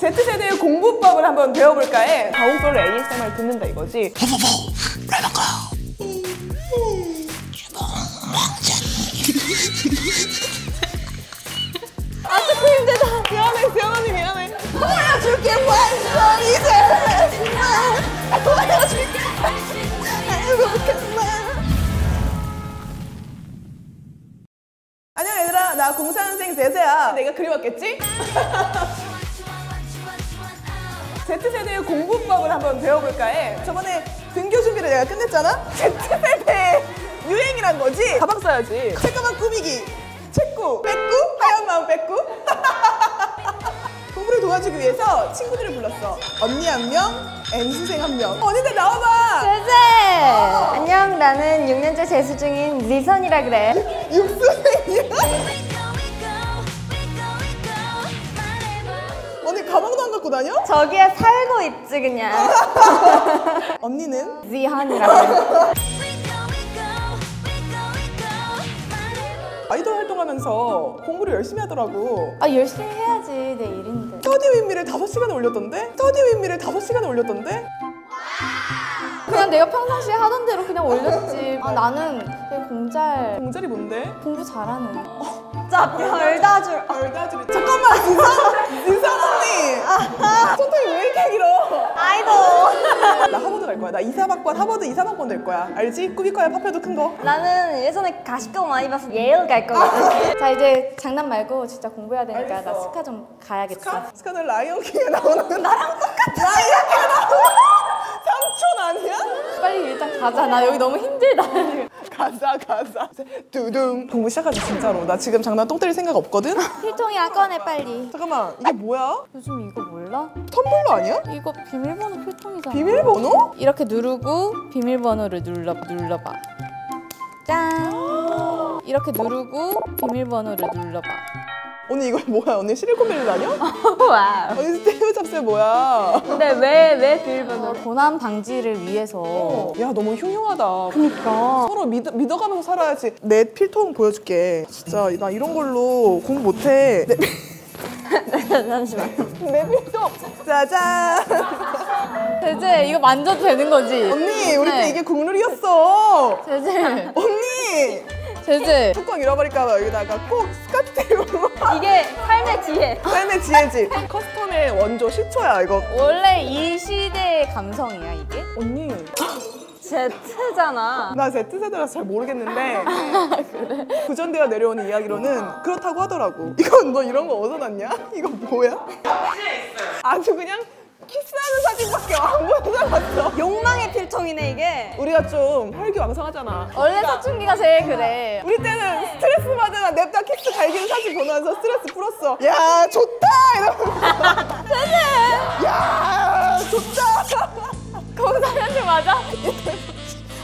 Z세대의 공부법을 한번 배워볼까에 가온별로 ASMR 듣는다 이거지 후후후 레몬가 아주 그 힘들다 미안해 지연 언니 미안해 보여줄게 완전 이제 보여줄게 행복한 날 안녕 얘들아 나 공사선생 제세야 내가 그리웠겠지? Z세대의 공부법을 한번 배워볼까 해 저번에 등교 준비를 내가 끝냈잖아? Z세대의 유행이란 거지? 가방 써야지 책가방 꾸미기 책구 뺏구 하얀 마음 뺏구 공부를 도와주기 위해서 친구들을 불렀어 언니 한명 N수생 한명 언니들 나와봐 제세! 어. 안녕 나는 6년째 재수 연수 중인 리선이라 그래. 육순이야? 언니 가방도 안 갖고 다녀? 저기에 살고 있지 그냥. 언니는? 리한이라고. 아이돌 활동하면서 공부를 열심히 하더라고. 아 열심히 해야지 내 일인데. 스터디 윈미를 다섯 시간에 올렸던데? 스터디 윈미를 다섯 시간에 올렸던데? 그냥 내가 평상시에 하던 대로 그냥 올렸지 아 나는 되게 공잘 공절이 뭔데? 공부 잘하는 자, 별다줄. 얼다줄이 아, 잠깐만 인상 인상 언니 손톱이 왜 이렇게 길어? 아이돌. 나 하버드 갈 거야 나 이사박권 하버드 이사박권 될 거야 알지? 꾸깃거야 파페도 큰거 나는 예전에 가시권 많이 봐서 예일 갈 거거든. 아. 자 이제 장난 말고 진짜 공부해야 되니까 나 알겠어. 스카 좀 가야겠어. 스카? 스카는 라이온킹에 나오는 나랑 똑같아. 라이온킹에 나오는 삼촌 아니야? 빨리 일단 가자. 나 여기 너무 힘들다. 가자 가자. 두둥. 공부 시작하자 진짜로. 나 지금 장난 똥 때릴 생각 없거든? 필통이야 꺼내 빨리. 잠깐만 이게 뭐야? 요즘 이거 몰라? 텀블러 아니야? 이거 비밀번호 필통이잖아. 비밀번호? 이렇게 누르고 비밀번호를 눌러 눌러봐. 짠! 이렇게 누르고 비밀번호를 눌러봐. 언니 이거 뭐야? 언니 실리콘밸리 다녀? 와우. 언니 스테이브 잡스 뭐야? 근데 왜, 왜 비밀번호? 어, 고난 방지를 위해서. 어. 야 너무 흉흉하다. 그니까. 서로 믿어, 믿어가면서 살아야지. 내 필통 보여줄게. 진짜 나 이런 걸로 공부 못해. 내... 잠시만. 내 필통! 짜잔! 제제 이거 만져도 되는 거지? 언니 우리 네. 때 이게 국룰이었어 제제 언니 제제 뚜껑 잃어버릴까 봐 여기다가 꼭 스카프 테이프로 이게 삶의 지혜 삶의 지혜지 커스텀의 원조 시초야 이거 원래 이 시대의 감성이야 이게? 언니 Z잖아. 나 Z세대라서 잘 모르겠는데 그래? 구전되어 내려오는 이야기로는 그렇다고 하더라고. 이건 너 이런 거 어디서 났냐? 이거 뭐야? 아주 그냥 키스하는 사진밖에 안보여서 봤어 욕망의 필통이네 이게 우리가 좀 혈기왕성하잖아 원래 그러니까 사춘기가 제일 그래 우리 때는 스트레스 받으나 냅다 키스 갈기는 사진 보면서 스트레스 풀었어 야 좋다 이러면서 세세 야 좋다 거기서 현실 맞아?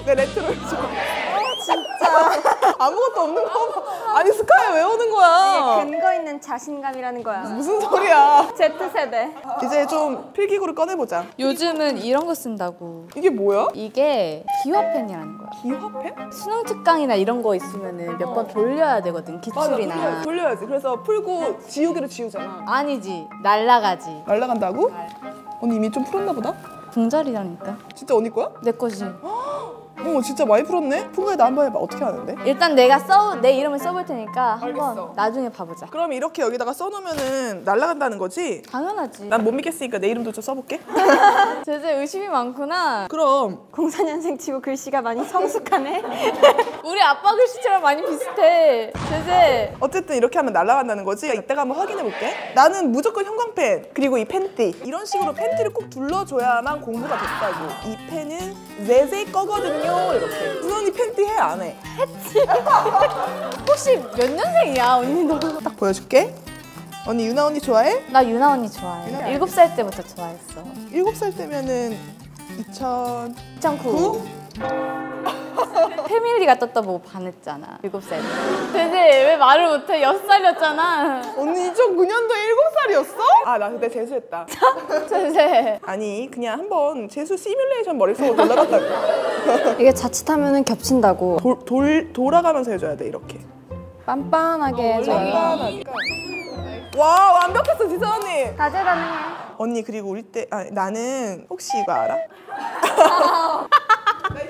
내 레트로를 줘 아, 진짜 아무것도 없는 거 아니 스카이 왜 오는 거야? 이게 근거 있는 자신감이라는 거야. 무슨 소리야? Z세대. 이제 좀 필기구를 꺼내보자. 요즘은 이런 거 쓴다고. 이게 뭐야? 이게 기화펜이라는 거야. 기화펜? 수능 특강이나 이런 거 있으면은 몇번 어. 돌려야 되거든 기출이나. 맞아, 돌려야, 지 그래서 풀고 지우개로 지우잖아. 아니지 날라가지. 날라간다고? 언니 이미 좀 풀었나 보다. 궁절이라니까. 진짜 언니 거야? 내 거지. 어 진짜 많이 풀었네? 풍가야 나 한번 해봐 어떻게 하는데? 일단 내가 써 내 이름을 써볼 테니까 한번 알겠어. 나중에 봐보자 그럼 이렇게 여기다가 써놓으면은 날라간다는 거지? 당연하지 난 못 믿겠으니까 내 이름도 좀 써볼게 제재 의심이 많구나 그럼 04년생 치고 글씨가 많이 성숙하네 우리 아빠 글씨처럼 많이 비슷해 제재 어쨌든 이렇게 하면 날라간다는 거지? 이따가 한번 확인해볼게 나는 무조건 형광펜 그리고 이 팬티 이런 식으로 팬티를 꼭 둘러줘야만 공부가 됐다고. 이 펜은 외세 거거든요. 이렇게. 누언니 팬티 해, 안 해? 했지. 혹시 몇 년생이야, 언니 너? 딱 보여줄게. 언니 유나 언니 좋아해? 나 유나 언니 좋아해. 유나 일곱 살 때부터 좋아했어. 일곱 살 때면은 2000... 2009? 패밀리가 떴다보고 반했잖아, 일곱 살 때. 근데 왜 말을 못해? 여섯 살이었잖아. 언니 2009년도 일곱 살이었어? 재수였어? 아나 그때 재수했다 전세 아니 그냥 한번 재수 시뮬레이션 머릿속으로 돌아갔다고 이게 자칫하면 겹친다고 돌, 돌, 돌아가면서 해줘야 돼 이렇게 빤빤하게 어, 해줘요 빤빤하니까 와 완벽했어 지선 언니 다재다능해 언니 그리고 우리 때 아, 나는 혹시 이거 알아?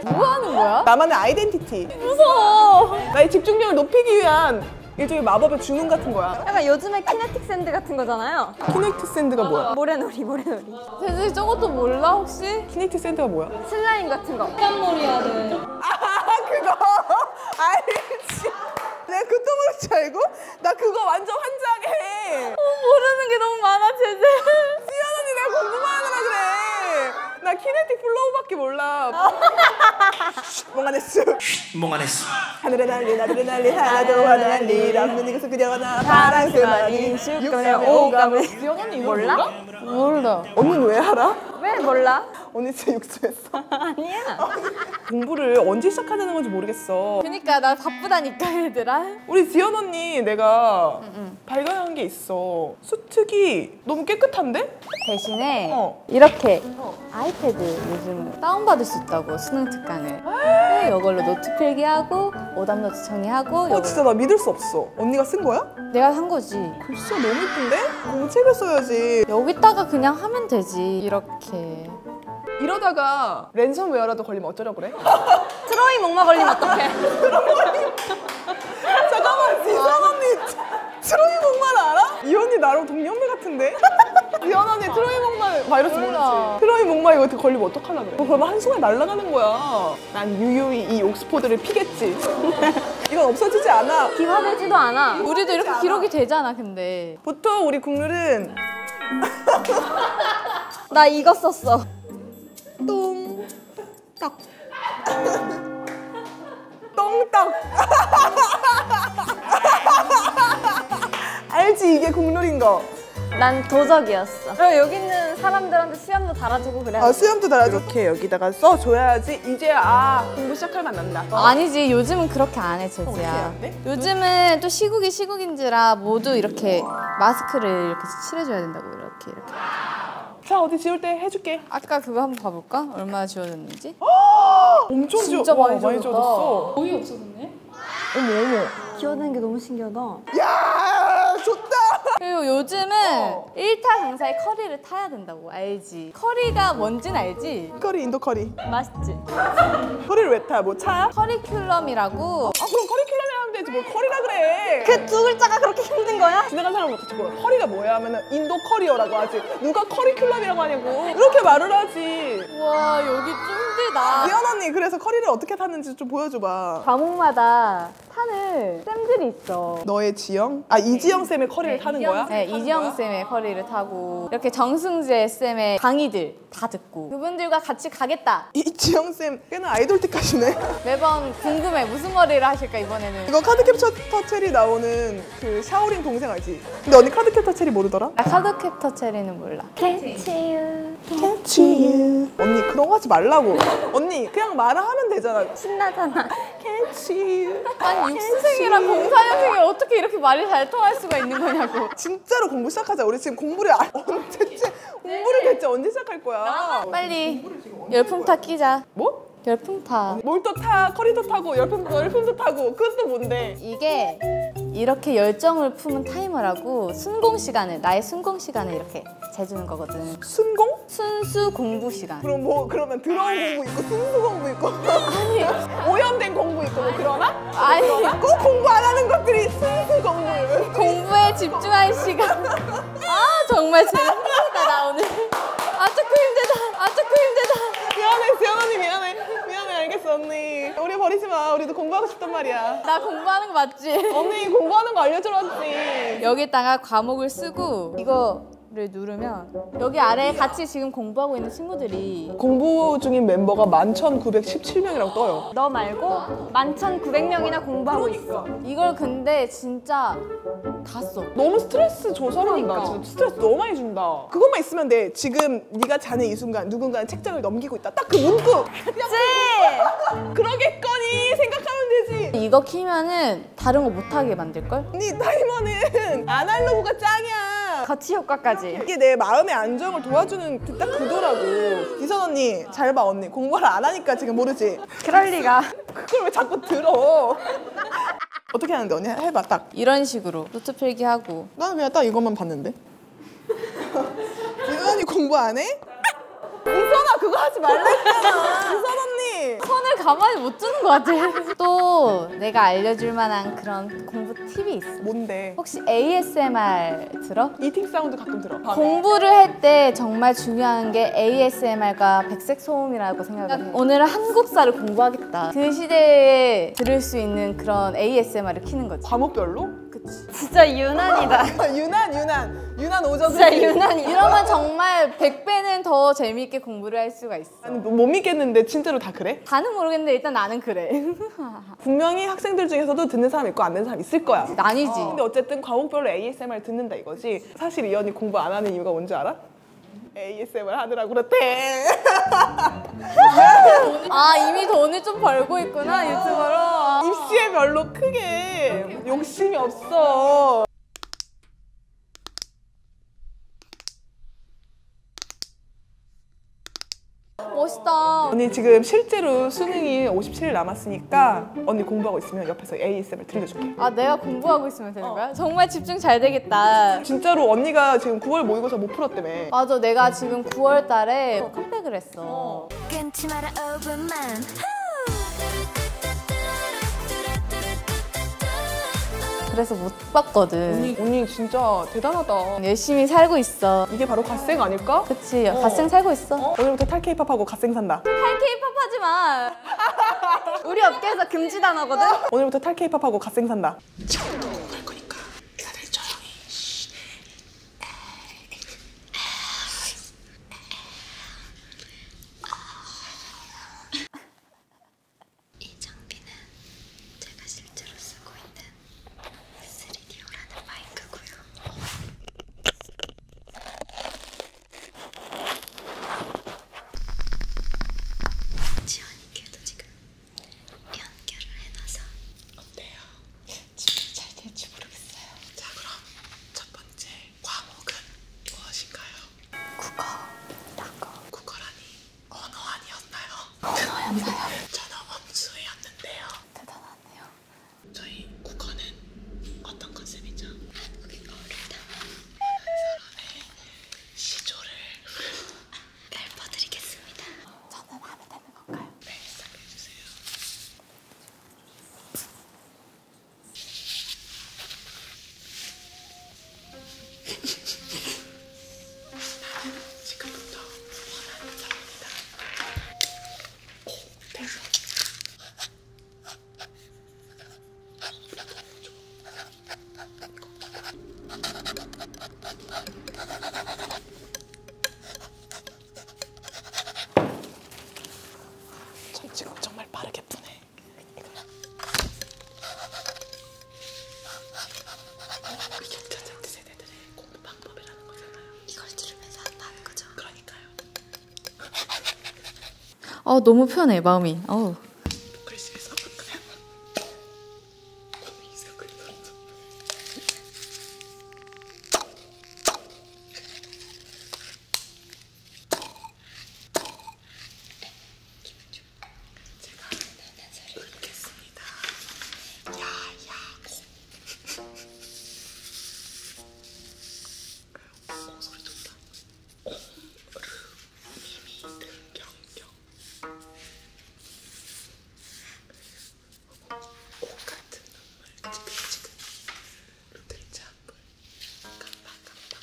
뭐 하는 거야? 나만의 아이덴티 PPT 무서워 나의 집중력을 높이기 위한 일종의 마법의 주문 같은 거야 약간 요즘에 키네틱 샌드 같은 거잖아요 키네틱 샌드가 뭐야? 어, 모래놀이 모래놀이 대지 저것도 몰라 혹시? 키네틱 샌드가 뭐야? 슬라임 같은 거 깜놀이야를 아 그거 알지 내가 그 똥으로 줄 알고? 나 그거 완전 환장해 어, 모르는 게 너무 많아 제재 수연 언니 내가 공부만 하느라 그래 나 키네틱 플로우밖에 몰라. 몽환했수. 몽환했수. 하늘에 날리 나들에 날리 하나도 하나 날리 남는 이것은 그냥 하나 파랑새만 인식 그냥 오감을 어, 지영 언니 이거 몰라? 몰라. 언니는 왜 알아? 왜 몰라? 언니 진짜 육수했어. 아니야. 공부를 언제 시작하자는 건지 모르겠어. 그니까 나 바쁘다니까 얘들아. 우리 지연 언니 내가 응, 응. 발견한 게 있어. 수특이 너무 깨끗한데? 대신에 어. 이렇게 아이패드 요즘 다운받을 수 있다고 수능 특강을 네, 이걸로 노트 필기하고 오답 노트 정리하고 어, 요걸... 진짜 나 믿을 수 없어 언니가 쓴 거야? 내가 산 거지 글씨가 너무 예쁜데? 공책을 써야지 여기다가 그냥 하면 되지 이렇게 이러다가 랜섬웨어라도 걸리면 어쩌려고 그래? 트로이 목마 걸리면 어떡해? 잠깐만 아. 지선 언니 트로이 목말 알아? 이 언니 나랑 동년배 같은데? 미안 언니 트로이 목말 바이러스 모르지? 트로이 목말 이거 걸리면 어떡하려 그래? 그러면 한순간 날아가는 거야 난 유유히 이 옥스포드를 피겠지 이건 없어지지 않아 기화되지도 않아 우리도 이렇게 않아. 기록이 되잖아 근데 보통 우리 국룰은 나 이거 썼어 똥 떡. 똥떡. 알지 이게 국룰인 거. 난 도적이었어. 여기는 사람들한테 수염도 달아주고 그래. 아, 수염도 달아줘. 이렇게 여기다가 써줘야지 이제 아 공부 시작할 맛 난다. 어. 아니지 요즘은 그렇게 안해 제지야. 어, 요즘은 또 시국이 시국인지라 모두 이렇게 마스크를 이렇게 칠해줘야 된다고 이렇게 이렇게. 자 어디 지울 때 해줄게. 아까 그거 한번 봐볼까? 얼마 지워졌는지? 엄청 지워. 진짜 많이, 많이 지워졌어. 거의 없어졌네. 어머 어머. 기어다니는 게 너무 신기하다. 야 좋다. 그리고 요즘은 어. 1타 강사의 커리를 타야 된다고 알지? 커리가 뭔진 알지? 커리 인도 커리. 맛있지? 커리를 왜 타? 뭐 차야? 커리큘럼이라고. 아 그럼 커리큘럼이라는데 뭘 커리라 그래? 그 두 글자가 그렇게 힘든 거야? 지나간 사람 같이 보여 뭐 커리가 뭐야 하면은 인도 커리어라고 하지 누가 커리큘럼이라고 하냐고 이렇게 말을 하지 와 여기 쫀대다 미연 언니 그래서 커리를 어떻게 탔는지 좀 보여줘봐 과목마다 타는 쌤들이 있어 너의 지영? 아 네. 이지영 쌤의 커리를 네, 타는 거야? 네 이지영 쌤의 커리를 타고 이렇게 정승재 쌤의 강의들 다 듣고 그분들과 같이 가겠다 이지영 쌤 꽤나 아이돌틱하시네 매번 좀 궁금해. 무슨 머리를 하실까 이번에는? 이거 카드캡처 터체리 나오는 그 샤오링 동생 알지? 근데 언니 카드캡터 체리 모르더라? 나 카드캡터 체리는 몰라. 캔치유 캔치유 언니 그런 거 하지 말라고. 언니 그냥 말을 하면 되잖아. 신나잖아. 캔치유 아니 육수생이랑 공사연생이 어떻게 이렇게 말이 잘 통할 수가 있는 거냐고. 진짜로 공부 시작하자. 우리 지금 공부를 아, 언제쯤 공부를 네. 대체 언제 시작할 거야? 빨리 열풍 타 끼자. 타. 뭐? 열풍 타. 뭘 어, 또 타? 커리도 타고 열풍 열풍도 타고 그것도 뭔데? 이게 이렇게 열정을 품은 타이머라고 순공 시간을 나의 순공 시간을 이렇게 재주는 거거든. 순공? 순수 공부 시간. 그럼 뭐 그러면 드러운 공부 있고 순수 공부 있고 아니 오염된 공부 있고 뭐 그러나? 아니 꼭 공부 안 하는 것들이 순수 공부. 공부에 집중할 시간. 아 정말 재밌다 나 오늘 아 조금 힘들다 아 조금 힘들다 미안해 지연 언니 미안해 미안해 알겠어 언니 우리 버리지 마 우리도 공부하고 싶단 말이야 나 공부하는 거 맞지? 언니 공부하는 거 알려줘라지 여기다가 과목을 쓰고 이거를 누르면 여기 아래 같이 지금 공부하고 있는 친구들이 공부 중인 멤버가 11,917명이라고 떠요 너 말고 11,900명이나 공부하고 있어 이걸 근데 진짜 진짜 다 써. 너무 스트레스 조절한다. 그러니까. 진짜 스트레스 너무 많이 준다. 그것만 있으면 돼. 지금 네가 자는 이 순간 누군가는 책장을 넘기고 있다. 딱 그 문구. 그냥 그 그러겠거니 생각하면 되지. 이거 키면은 다른 거 못하게 만들걸? 네 타이머는 아날로그가 짱이야. 같이 효과까지. 이게 내 마음의 안정을 도와주는 그 딱 그거라고. 이선 언니 잘 봐 언니. 공부를 안 하니까 지금 모르지. 그럴 리가. 그걸 왜 자꾸 들어? 어떻게 하는데 언니 해봐 딱. 이런 식으로 노트 필기하고. 나는 그냥 딱 이것만 봤는데. 이현이 공부 안 해? 이선아 그거 하지 말랬잖아. 이선 언니. 손을 가만히 못 두는 것 같아. 또 내가 알려줄 만한 그런 공부 팁이 있어. 뭔데? 혹시 ASMR 들어? 이팅 사운드 가끔 들어. 밤에. 네. 공부를 할 때 정말 중요한 게 ASMR과 백색 소음이라고 생각을 해요. 오늘은 한국사를 공부하겠다. 그 시대에 들을 수 있는 그런 ASMR을 키는 거지. 과목별로? 그치. 진짜 유난이다. 아, 아, 유난, 유난. 유난 오전. 진짜 유난이다. 이러면 정말 100배는 더 재미있게 공부를 할 수가 있어. 아니, 뭐 못 믿겠는데 진짜로 다 그래? 다는 모르겠는데 일단 나는 그래. 분명히 학생들 중에서도 듣는 사람 있고 안 듣는 사람 있을 거야. 난이지. 어. 근데 어쨌든 과목별로 ASMR ASMR 듣는다 이거지 사실 이 언니 공부 안 하는 이유가 뭔지 알아? ASMR 하느라고 그렇대 아 이미 돈을 좀 벌고 있구나 유튜버로 입시에 별로 크게 욕심이 없어 멋있다 언니 지금 실제로 수능이 57일 남았으니까 테니까 언니 공부하고 있으면 옆에서 ASMR 들려줄게 아 내가 공부하고 있으면 되는 어. 거야? 어. 정말 집중 잘 되겠다 진짜로 언니가 지금 9월 모의고사 못 풀었다며 맞아 내가 지금 9월 달에 어, 컴백을 했어 어. 그래서 못 봤거든 언니, 언니 진짜 대단하다 열심히 살고 있어 이게 바로 갓생 아닐까? 그 같이 어. 갓생 살고 있어 어? 오늘부터 탈케이팝하고 갓생 산다 탈케이팝 하지 마 우리 업계에서 금지 단어거든 오늘부터 탈케이팝하고 갓생 산다 지원이께도 지금 연결을 해놔서 어때요? 지금 잘 될지 모르겠어요. 자 그럼 첫 번째 과목은 무엇인가요? 국어. 국어. 국어라니 언어 아니었나요? 언어였나요? 저는 원수였는데요. 대단하네요. 저희 국어는 어떤 컨셉이죠? 한국인어를 담은 사람의 시조를 읊어드리겠습니다. 저는 하면 되는 건가요? 네, 시작해주세요. 나는 지금부터 원하는 사람이다. 대박. 저 지금 정말 빠르게 푸네. 어, 이게 자자세 세대들의 공부 방법이라는 거잖아요. 이걸 들으면서 한다는 거죠. 그러니까. 어 너무 편해 마음이. 어. 제가 하는 소리 듣겠습니다. 야야 고. 어, 소리 좋다. 오르미미 등경경. 꽃같은 눈물 지긋지긋. 루들잔불 깜빡깜빡.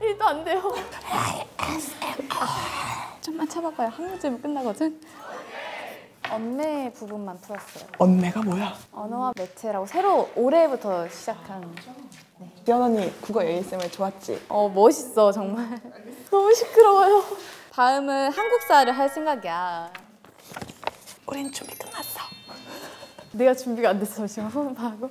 일도 안 돼요. 좀만 참아봐요. 한 문제면 끝나거든. 언매 부분만 풀었어요. 언매가 뭐야? 언어와 매체라고 새로 올해부터 시작한. 네. 지연 언니 국어 ASMR 좋았지? 어 멋있어 정말. 너무 시끄러워요. 다음은 한국사를 할 생각이야. 우린 준비 끝났어. 내가 준비가 안 됐어. 지금 후문파하고.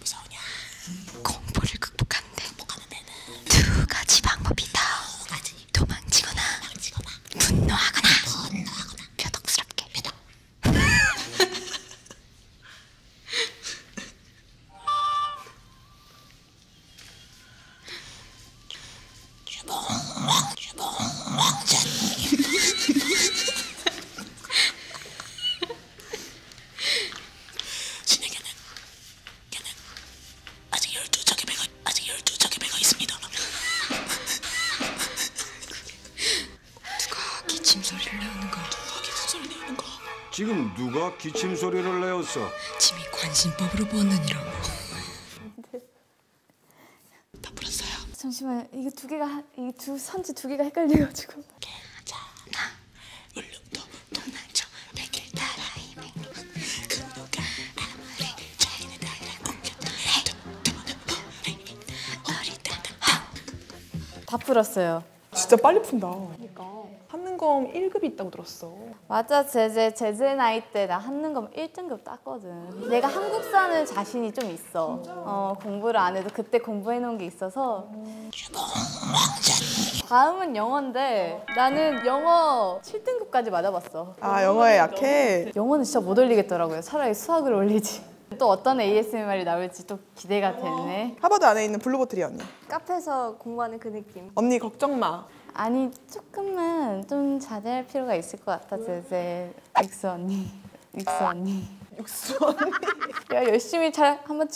무서우냐? 공포를 극복하는데 극복하는 데는 두 가지 방법이 있다. 두 가지. 도망치거나, 도망치거나 분노하거나, 분노하거나 표독스럽게. 표독. 주봉 주봉 왕자님. 신에게는 걔는 아직 열두 척의 배가 아직 열두 척의 배가 있습니다. 누가 기침 소리를 내는 거? 누가 기침 소리 내는 거? 지금 누가 기침 소리를 내었어? 짐이 관심법으로 보았느니라고. 다 풀었어요. 잠시만요. 이게 두 개가 이 두 선지 두 개가 헷갈려가지고. 괜찮아 울릉도 동남쪽 백길 따라 이백 그누가 아무리 차이는 달라 옮겼다 네. 다 풀었어요. 진짜 빨리 푼다. 그러니까. 한는검 1급이 있다고 들었어. 맞아, 제제 제제 나이 때나 한는검 1등급 땄거든. 내가 한국사는 자신이 좀 있어. 진짜? 어, 공부를 안 해도 그때 공부해 놓은 게게 있어서 다음은 영어인데 나는 영어 7등급까지 맞아봤어 아 영어에 약해? 영어는 진짜 못 올리겠더라고요 차라리 수학을 올리지 또 어떤 ASMR이 나올지 또 기대가 되네 하버드 안에 있는 블루보틀이 언니 카페에서 공부하는 그 느낌 언니 걱정 마 아니 조금만 좀 자제할 필요가 있을 것 같아 제제 엑스 언니 엑스 언니 육수 언니 야 열심히 잘 한번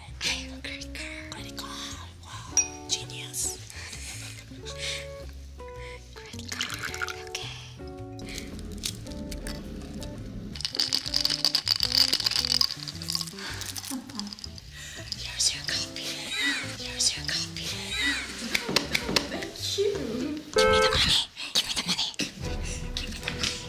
I'm a great girl. Great girl. Wow. Genius. great girl. Okay. Here's your copy. Here's your copy. Thank you. Give me the money. Give me the money. Give me the money.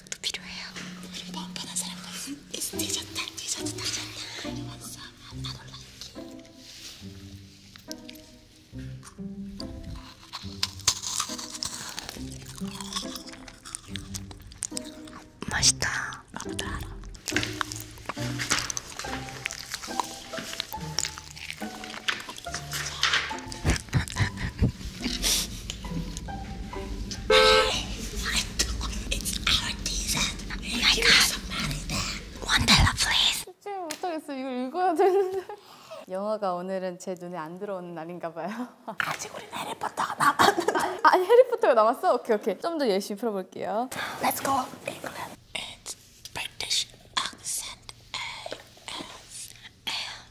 자극도 필요해요. 우리 뻔뻔한 사람과 뒤졌다, 뒤졌다, 뒤졌다. 이리 왔어. 안 아, 올라갈게. 맛있다. 나보다 알아. 이걸 읽어야 되는데 영화가 오늘은 제 눈에 안 들어오는 날인가 봐요 아직 우리 해리포터가 남았는데 아, 해리포터가 남았어? 오케이 오케이 좀더 열심히 풀어볼게요 Let's go England It's British accent A S L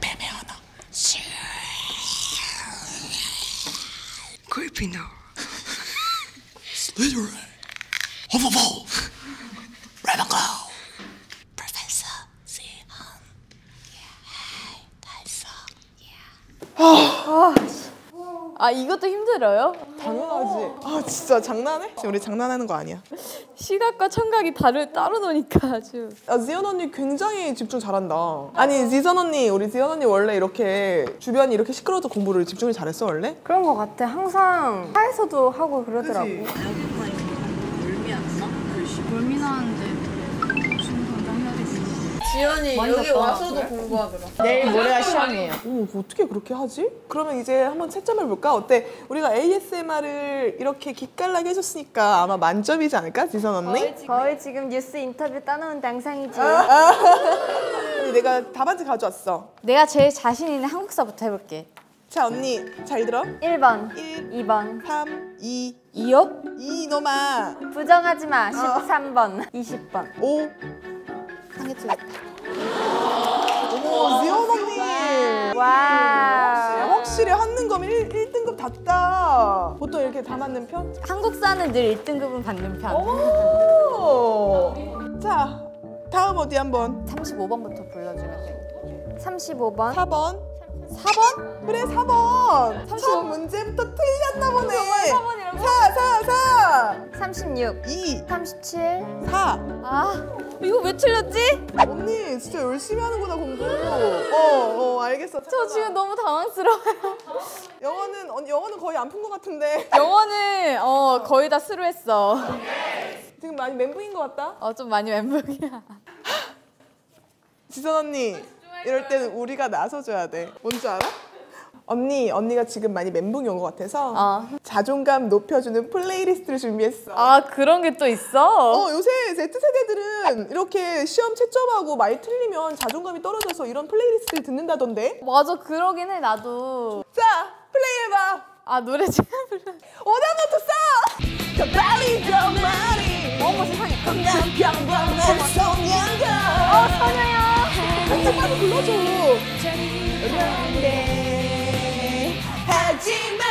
뱀의 언어. 그리핀더. 슬리더리. 호버버. 레몬고. 프로페서 시헌. 달서. 아. 아 이것도 힘들어요? 당연하지. 아 진짜 장난해? 지금 우리 장난하는 거 아니야. 시각과 청각이 다를 따로 노니까 아주 아, 지연 언니 굉장히 집중 잘한다 아니 지선 언니 우리 지연 언니 원래 이렇게 주변이 이렇게 시끄러워서 공부를 집중을 잘했어 원래? 그런 것 같아 항상 차에서도 하고 그러더라고 그치? 지연이 여기 와서도 공부하더라 내일 모레가 시험이에요 어머 어떻게 그렇게 하지? 그러면 이제 한번 채점해 볼까? 어때? 우리가 ASMR을 이렇게 기깔나게 해줬으니까 아마 만점이지 않을까? 지선 언니? 거의 지금, 거의 지금 뉴스 인터뷰 따놓은 당상이지. 아. 내가 답안지 가져왔어. 내가 제일 자신 있는 한국사부터 해볼게. 자 언니 잘 들어. 1번, 1, 2번, 3, 2, 이업, 이놈아. 부정하지 마. 13번, 20번. 5. 상해치겠다. 어머 지연 언니. 와우. 확실히 한능검이 1, 등급 답다. 보통 이렇게 다 맞는 편? 한국사는 늘 1등급은 받는 편. 오 자, 다음 어디 한번? 35번부터 불러주면 돼요. 35번. 4번. 4번? 그래 4번. 35... 첫 문제부터 틀렸나 보네. 4, 4, 4. 36. 2. 37. 4. 아. 이거 왜 틀렸지? 언니 진짜 열심히 하는구나 공부. 어, 어 알겠어. 저 지금 너무 당황스러워요. 영어는 언니 영어는 거의 안 푼 것 같은데. 영어는 어 거의 다 스루했어. 지금 많이 멘붕인 것 같다. 어 좀 많이 멘붕이야. 지선 언니 이럴 때는 우리가 나서줘야 돼. 뭔 줄 알아? 언니 언니가 지금 많이 멘붕이 온것 같아서 어. 자존감 높여주는 플레이리스트를 준비했어. 아 그런 게 또 있어? 어 요새 Z세대들은 이렇게 시험 채점하고 말 틀리면 자존감이 떨어져서 이런 플레이리스트를 듣는다던데? 맞아 그러긴 해 나도. 자 플레이해봐. 아 노래 지금 불러. 오다노트 써! 저 빨리 저 말이 어머 세상에 건강 평범한 소년가 어 소녀야 한참 빨리 불러줘 하지만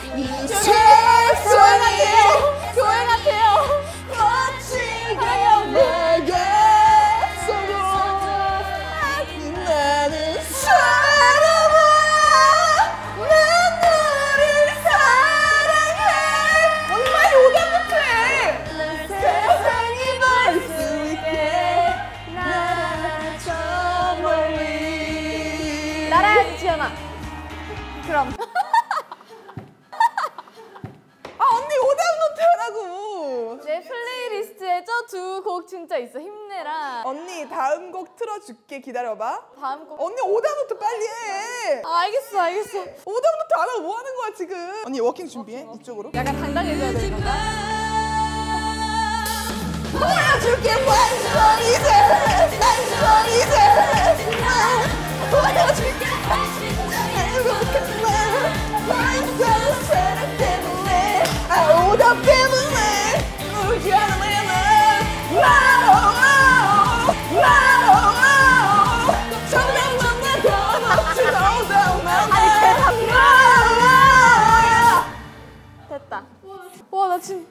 이 세상에 교회 같아요 거친 가요 내게 서로 나는 사랑아 난 너를 사랑해 얼마나 요게 못해 세상이 볼수 있게 나저 멀리 따라야지 지연아 그럼. 아 언니 오답 노트라고. 내 플레이리스트에 저 두 곡 진짜 있어. 힘내라. 언니 다음 곡 틀어줄게. 기다려봐. 다음 곡. 언니 오답 노트 빨리 해. 아, 알겠어 알겠어. 오답 노트 안 하고 뭐 하는 거야 지금. 언니 워킹 준비해. 워킹, 워킹. 이쪽으로. 약간 당당해져야 되는 건가? 보여줄게 완전히 아, 돼 완전히 돼 보여줄게 완전 사랑 때문에 아 오다 때문에 울지 않으면 와우 와우 정답 만나 더 없지 정답 만나 됐다 와나 지금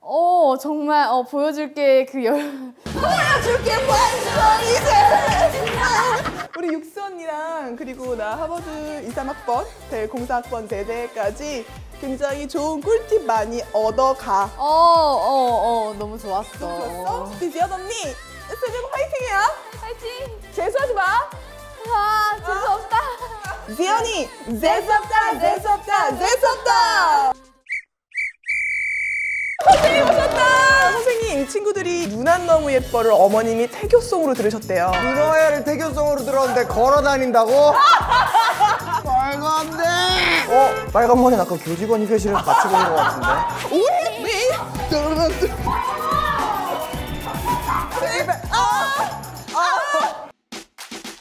어 정말 어 보여줄게 그 열. 보여줄게 완전 이제. 우리 육수 언니랑 그리고 나 하버드 2, 3학번 대 공사학번 대대까지 굉장히 좋은 꿀팁 많이 얻어가. 어, 어, 어, 너무 좋았어. 너무 좋았어? 비지연 언니, 세정 화이팅이야. 화이팅. 재수하지 마. 아, 재수 없다. 지연이 재수 없다, 재수 없다, 재수 없다. 선생님 오셨다! 선생님 이 친구들이 누난 너무 예뻐를 어머님이 태교송으로 들으셨대요. 누나야를 태교송으로 들었는데 걸어다닌다고? 말도 안 돼! 어? 빨간 머리는 아까 교직원이 회실을 같이 보는 것 같은데? 우리 어? 왜? 떨어졌어. 아! 아! 아! 아!